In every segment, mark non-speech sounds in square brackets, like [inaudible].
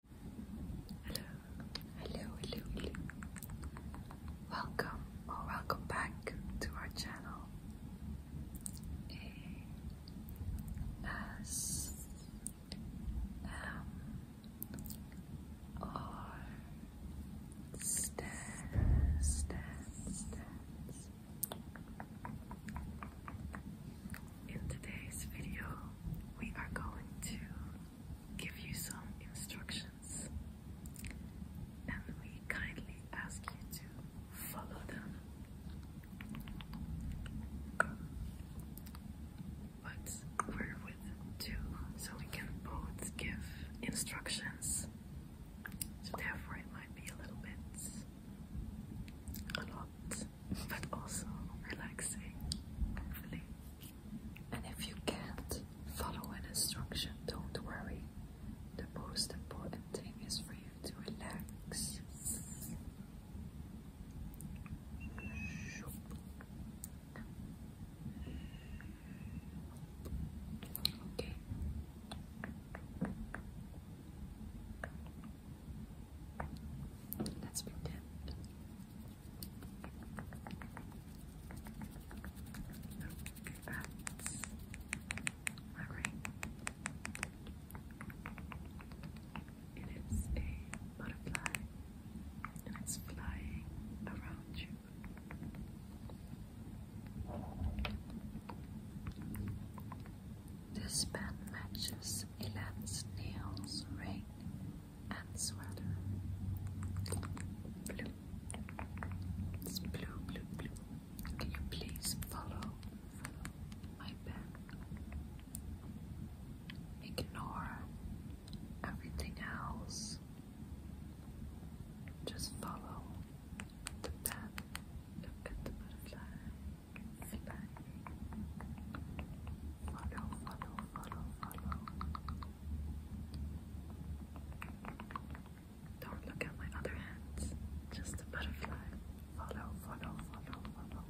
Hello, hello, hello, hello. Welcome or welcome back to our channel. As in today's video, we are going to give you some instructions and we kindly ask you to follow them. But we're with two, so we can both give instructions. So therefore, it might be a little bit, a lot, but also relaxing, And if you can't follow an instruction, don't worry. The most important thing is for you to relax. Okay. Let's pretend. That's all right. It is a butterfly, and it's flying around you. This band matches Elan's nails, ring, and sweater. Blue. It's blue, blue, blue. Can you please follow, my pen? Ignore everything else. Just follow the pen. Look at the butterfly. Follow, follow, follow, follow. Don't look at my other hands. Just a butterfly. Follow, follow, follow, follow.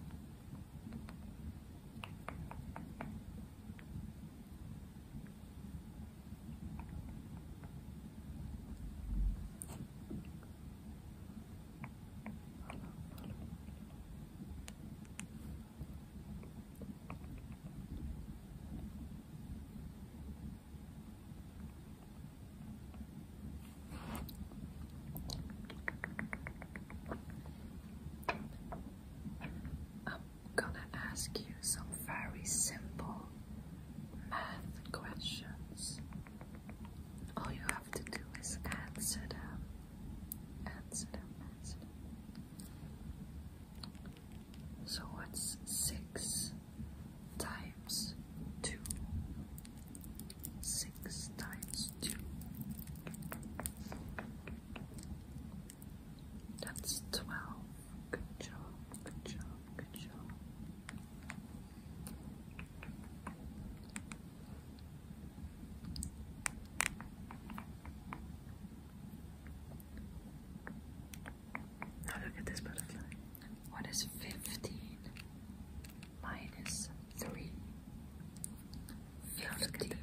I'm gonna ask you some very simple math questions. All you have to do is answer them. Answer them, answer them. So what's six times two? Six times two. That's twelve. Good job, good job, good job look at this butterfly. What is 15 minus 3? 15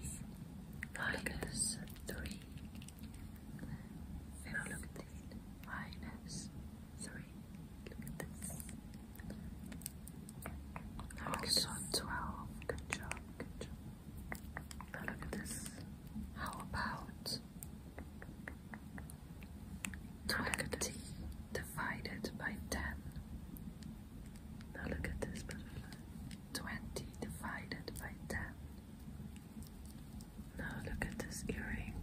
minus 3. 15 minus 3. Look at this. 12. Good job, good job. Now look at this. How about 20 divided by 10? Now look at this butterfly. 20 divided by 10. Now look at this earring.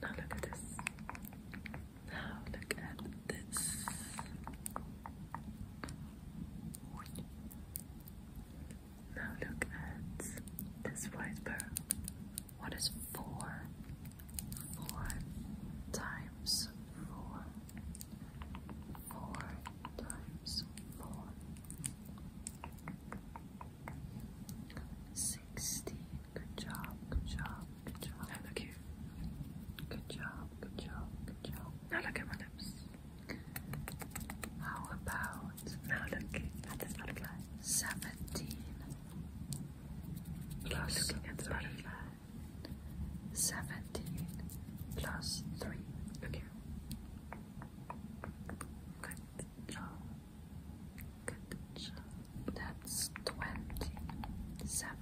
Now look at this. Now look at this. Now look at this white What is four? Four times four four times four. Sixteen. Good job, good job, good job. I look here. Good job, good job, good job. Now look at my lips. How about now look at this butterfly? Seventeen. Plus Seventeen plus three. Okay. Good job. Good job. That's 20. 70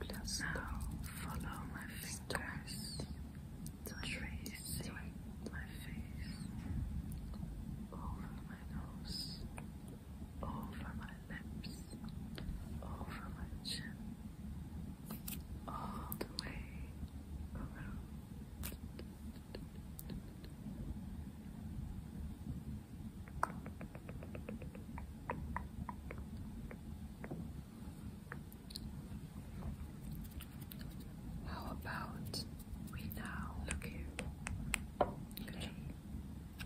plus. Now follow my fingers. Tracing my face over my nose, over my lips, over my chin all the way around. How about we now look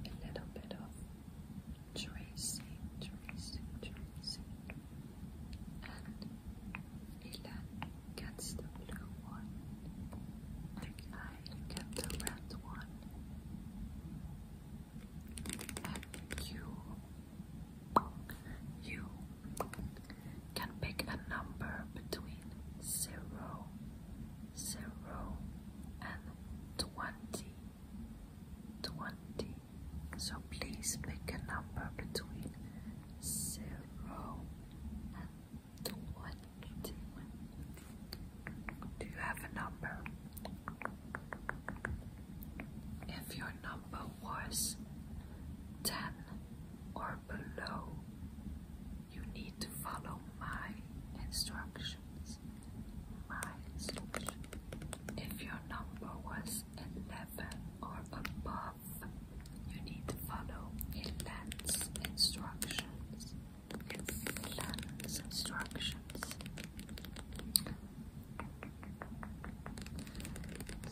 A little bit of tracing, tracing, tracing and Elan gets the blue one, and I get the red one, and you, you can pick a number between zero, zero, and twenty. So please pick a number between 0 and 20. Do you have a number? If your number was 10 or below, you need to follow my instructions. My instructions. If your number was 11 or above, you need to follow Ellen's instructions. Ellen's instructions.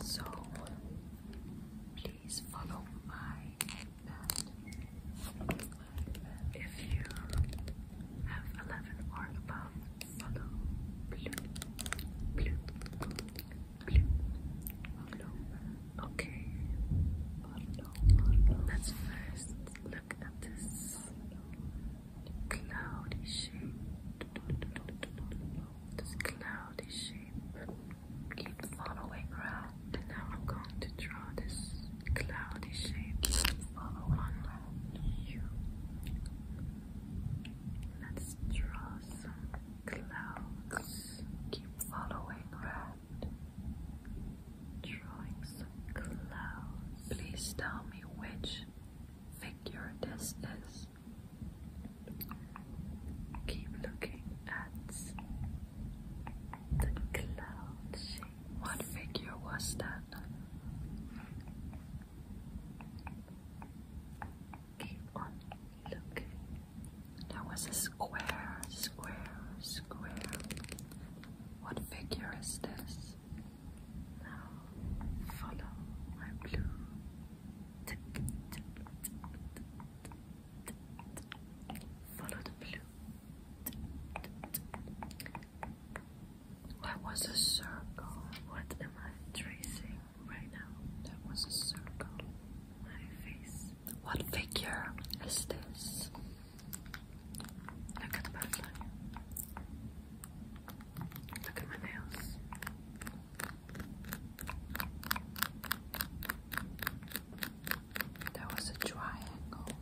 So, please follow my If you have 11 or above, Hello. Hello. Hello. Hello. Okay. Let's first look at this cloudy shape. This cloudy shape keeps following around. And now I'm going to draw this cloudy shape on you. Let's draw some clouds. Keep following red. Drawing some clouds. Please tell me which figure this is. Keep looking at the cloud shape. What figure was that? Keep on looking. There was a square, square, square. What figure is this? Now follow my blue. Follow the blue. That was a circle. What am I tracing right now? There was a circle. My face. What figure is this? Look at the butterfly. Look at my nails. That was a triangle.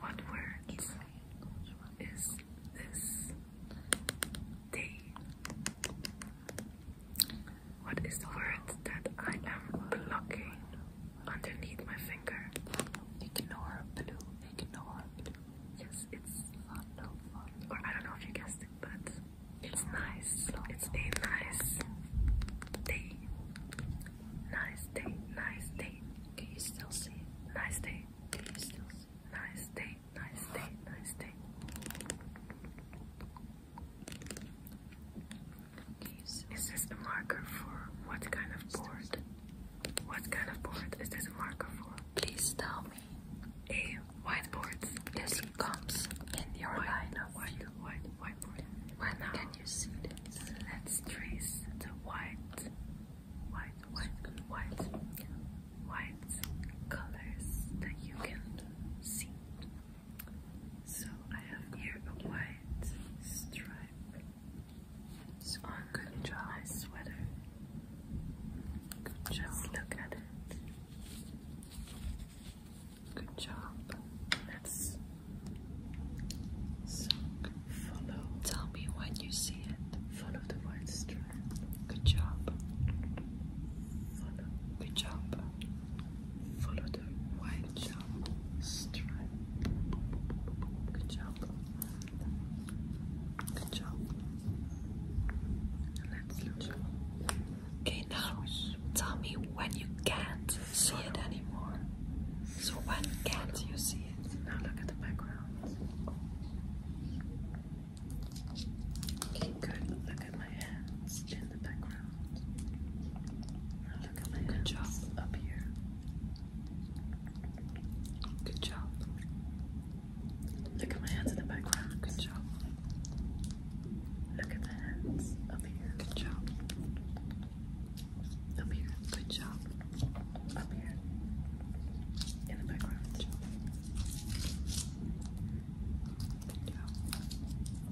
What word is this? Day. What is the word that I am blocking underneath my finger? Ignore blue. Ignore Yes, it's Or I don't know if you guessed it, but it's nice. It's a nice day. Nice day. Nice day. Can you still see Nice day. Nice day, nice day, nice day. Is this a marker for what kind of board? What kind of board is this marker for? Please tell me. A whiteboard. This comes in your white, line of white, white, can you see Let's trace the white white, white, white, white colors that you can see. So I have here a white stripe good job. sweater. Good job. look at it. Good job. Let's. So Look. Follow. Tell me when you see it. Follow the white strand. Good job. Follow. Good job. Follow the white job. strand. Good job. Good job. Let's look. Okay, now tell me when you can't see Follow. it anymore. So when can't Follow. you see it? Now look at the background good. Look at my hands in the background. look at my hands up here. Good job. Look at my hands in the background. Good job. Look at the hands up here. Good job. Up here. Good job. Up here. In the background.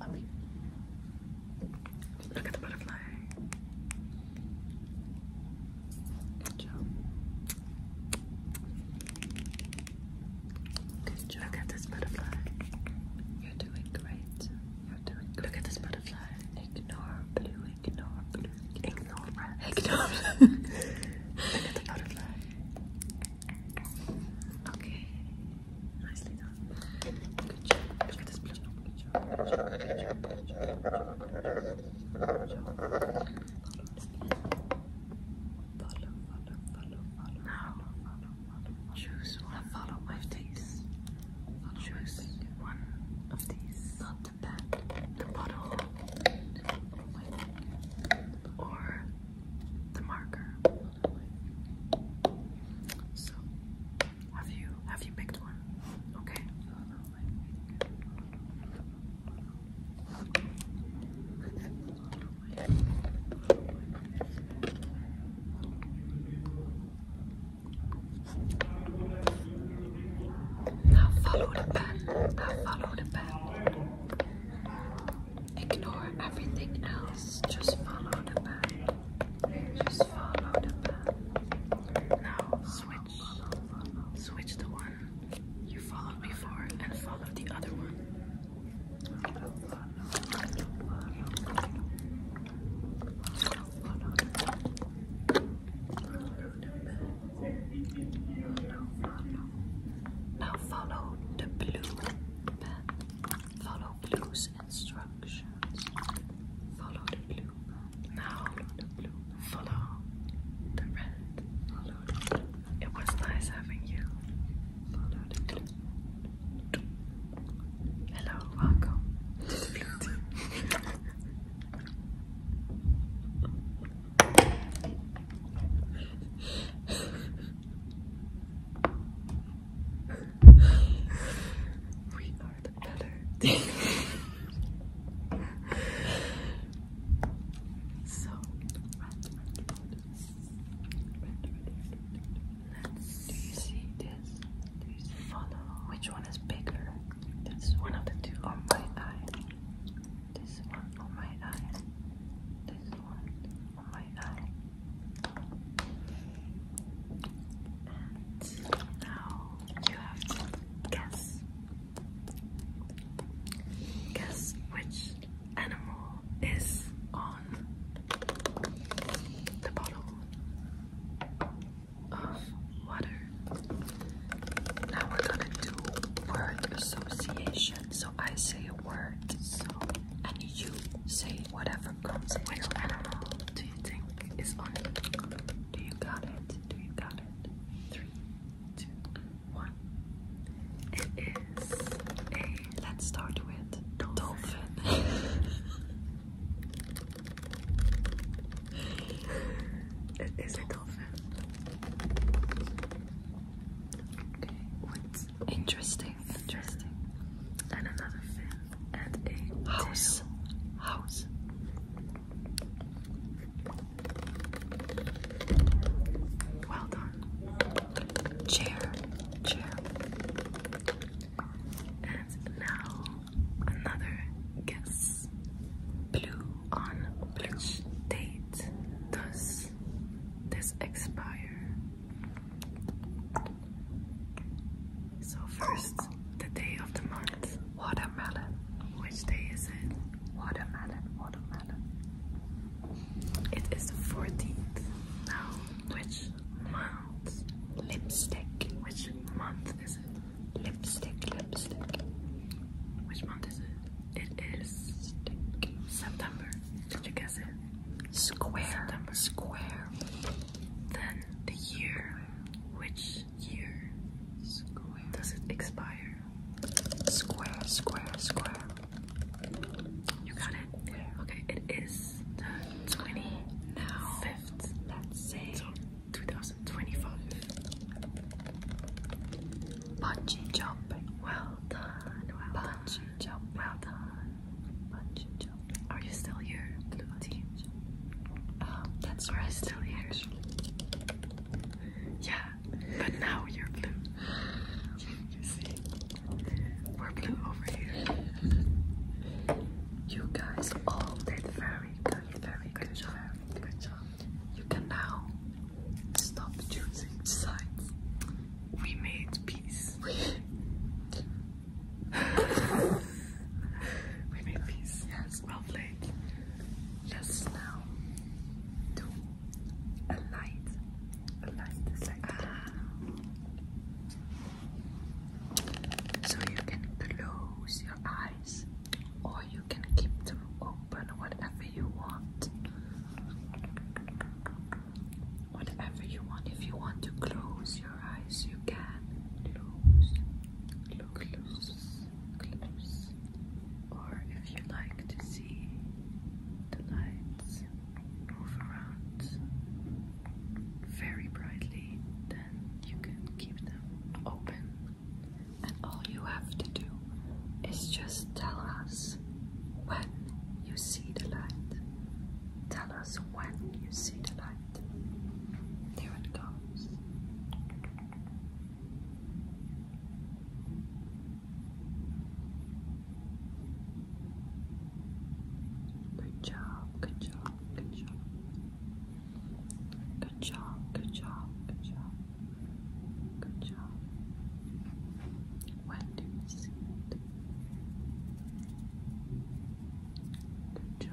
Up here. Look at the butterfly. Good job. Good job. Look at this butterfly. You're doing great. You're doing Look at this butterfly. Ignore blue ignore blue. Ignore red. Ignore Look at the butterfly. Okay. Nicely done. Good job. Look at this blue. Good job. Good job. Good job. Good job. Good job. Good job. Follow, follow, follow, follow. Now, follow, follow, follow. choose one. Follow my face. Choose one of these. Not the bottle, or the marker. So, have you have you picked one? Okay. Now follow the pen. Now follow the pen. Ignore everything else. Just follow the pen. Just follow the pen. Now switch. Switch the one you followed before and follow the other one. Now follow the blue pen. Follow blue's instructions. Follow the blue Now follow the blue. Follow the red. Follow the It was nice having you. Hello, welcome to the blue We are the better. so, let's do you which one is bigger? This one of the two on my eye. This one on my eye. This one on my eye. And now you have to guess. Guess which animal is on the bottle of water. Now we're gonna do word association. So I say a word, and you say whatever comes. Which animal do you think is on it? Do you got it? Do you got it? Three, two, one. It is a. Let's start with dolphin. [laughs] it is a dolphin. Okay, interesting? Interesting. And another fin and a house. House. Well done. Chair. Chair. And now another guess. Blue on which date does this expire? So first, the day of the month. Watermelon. Which day is it? Watermelon, watermelon. It is the 14th. Now, which month? Lipstick. Which month is it? Lipstick, lipstick. Which month is it? It is September. Did you guess it? Square. September. Square. Then the year. Which year? Square. Does it expire? Square, square, square. You got it? Okay, it is the 20 now left let's say until 2025 bungee jumping well done well bungee done. jump well done bungee jump are you still here blue team um that's where i still here actually. yeah but now you're blue [sighs] you see we're blue over here you guys all did very good, very good, job, You can now stop choosing sides. We made peace. [laughs] We, made peace. Yes, well Just now do a light. A light is so you can close your eyes or you can keep them open, whatever you want. Whatever you want. If you want to close your eyes, you can close, close, close, close. Or if you like to see the lights move around, very brightly, then you can keep them open. And all you have to do is just tell us when you see the light. Tell us when you see the light. There it goes. Good job, good job, good job. Good job, good job, good job. Good job. When Good job.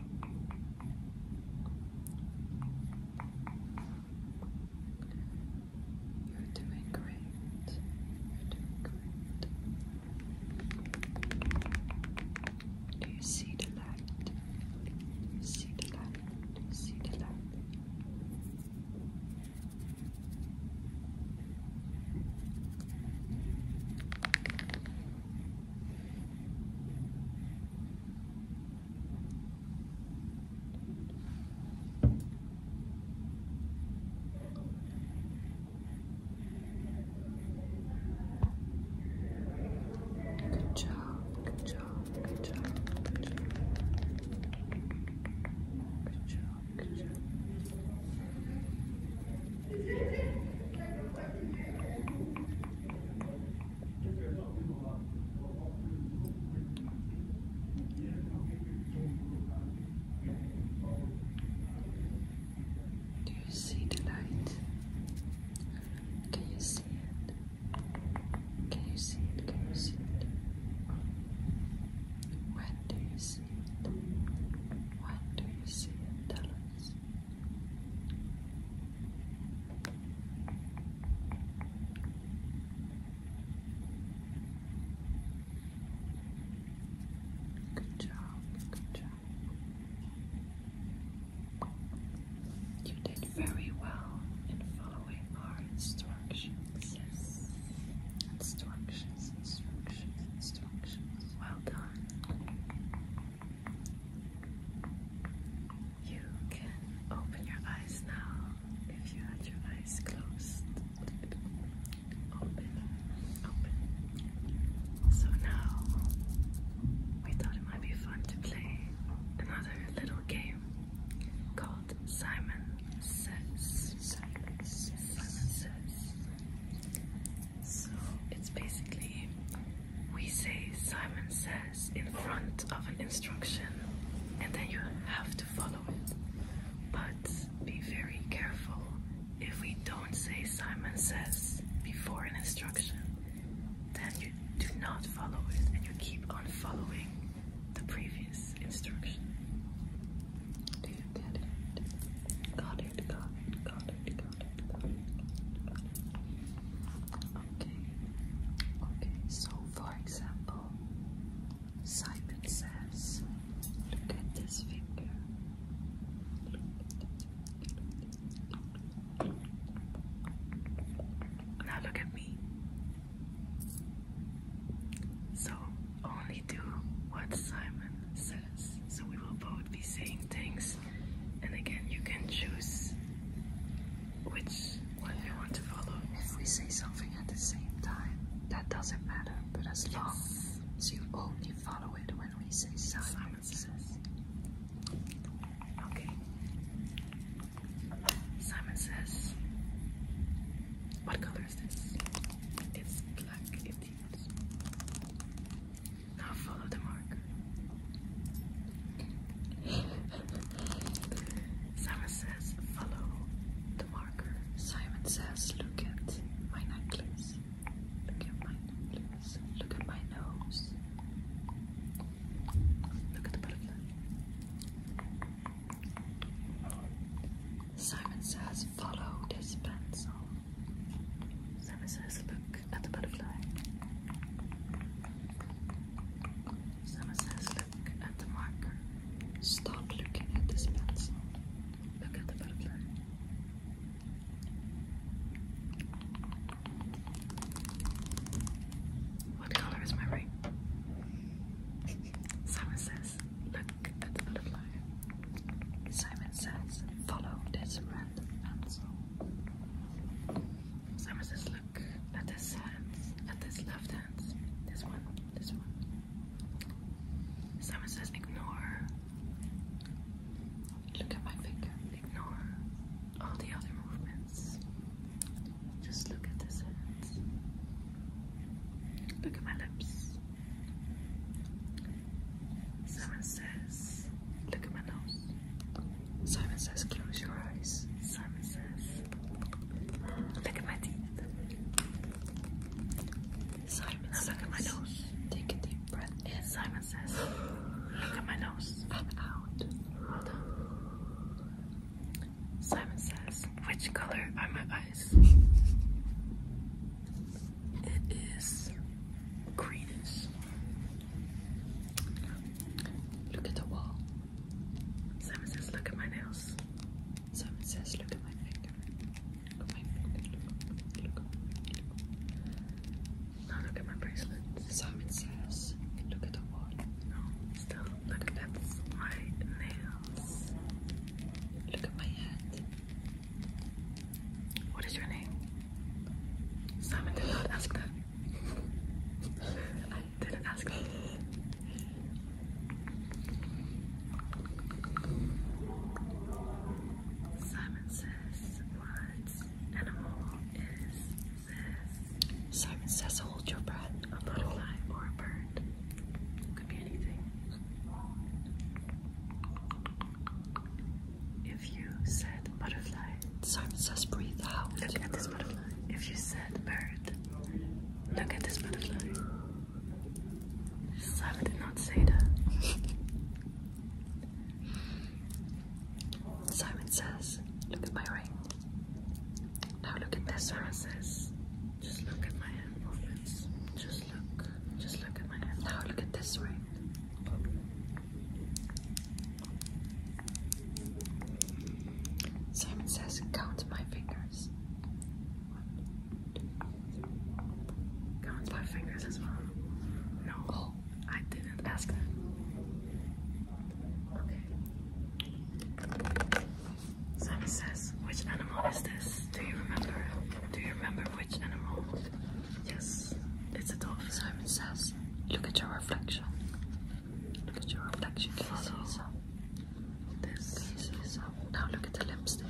You're doing great. You're doing great. Do you see the light? Do you see the light? Do you see the light? Good job, good job, good job, good job. Good job, do you see the light? Can you see it? Can you see it? Can you see it? When do you see it? When do you see it? Tell us. Good job, good job. You did very well in following our instructions. Instructions, instructions, instructions. Well done. You can open your eyes now if you had your eyes closed. Open, open. So now we thought it might be fun to play another little game called Simon Says. Simon Says. Simon Says. So it's basically we say Simon says in front of an instruction and then you have to follow it. But be very careful if we don't say Simon says before an instruction, then you do not follow it and you keep on following the previous instruction. Do it? Got it, got it, got it, Okay. Okay. So, for example, Simon says, "Look at this finger." Now look at me. So only do what Simon says. So we will both be saying things, and again, you can choose which one you want to follow. If we say something at the same time, that doesn't matter, but as long as you only follow it when we say silence. Simon says. Okay. Simon says, What color is this? It's black, indeed. Now follow the marker. Simon says, follow the marker. Simon says, look at my necklace. Look at my necklace. Look at my nose. Look at the butterfly. Simon says, follow this pencil. Somerset's look at the butterfly. Somerset's look at the marker. Stop looking at this pencil. Look at the butterfly. What color is my ring? Someone says, look at the butterfly. Simon says, follow this random pencil. Simon says, look at this hand, at this left hand, this one, this one. Simon says, ignore. Look at my finger, ignore all the other movements. Just look at this hand. Look at my lips. Simon says, look at my nose. Simon says, close your eyes. Simon says, look at my teeth. Simon says, look at my nose. Take a deep breath Simon says, look at my nose. out. Simon says, which color are my eyes? It is greenish. Look at the wall. Simon says, look at my nails. Simon says, look at my finger. Look at my finger. Look, look, look. Now look at my bracelet. Simon says, look at the wall. No, still look at that's my nails. Look at my hand. What is your name? Simon did not ask that. [laughs] didn't ask that. Simon says, what animal is this? Simon says, hold your breath. A butterfly or a bird. Could be anything. If you said butterfly, Simon says breathe out. Look at this butterfly. If you said bird, look at this butterfly. Simon did not say that. Simon says, look at my ring. Now look at this. Simon says, just look at my hand Just just look. Just look at my hand. Now look at this ring. Simon says, count my fingers. Count my fingers as well. No, I didn't ask that. Okay. Simon says, which animal is this? Do you remember? Do you remember? which animal. Yes, it's a dolphin. Simon says, look at your reflection. Look at your reflection. Can you This. Can you Now look at the lipstick.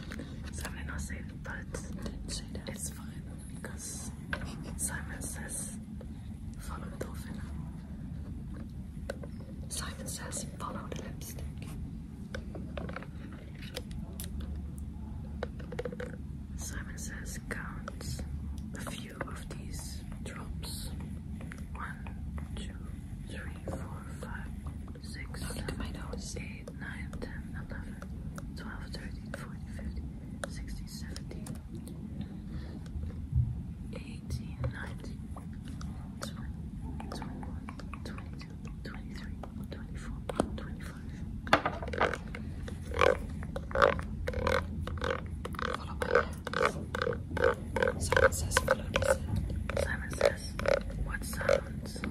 Simon not say but it's fine because Simon says, follow the dolphin. Simon says, follow the lipstick. Simon says count a few of these drops. One, two, three, four, five, six, seven, eight, nine, ten, eleven, twelve, thirteen, fourteen, fifteen, sixteen, seventeen, eighteen, nineteen, twenty, twenty-one, twenty. 22, Simon says, follow this Simon says, what sounds?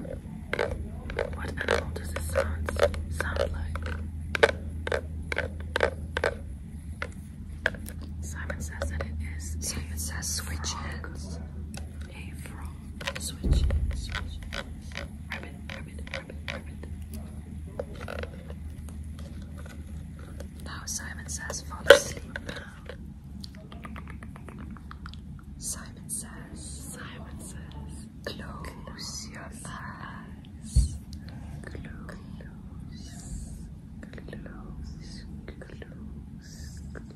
What animal does this sound, like? Simon says that it is. Simon says switches. Now Simon says, fall asleep Simon says, Simon says, close, your eyes. Close, close, close, close. close.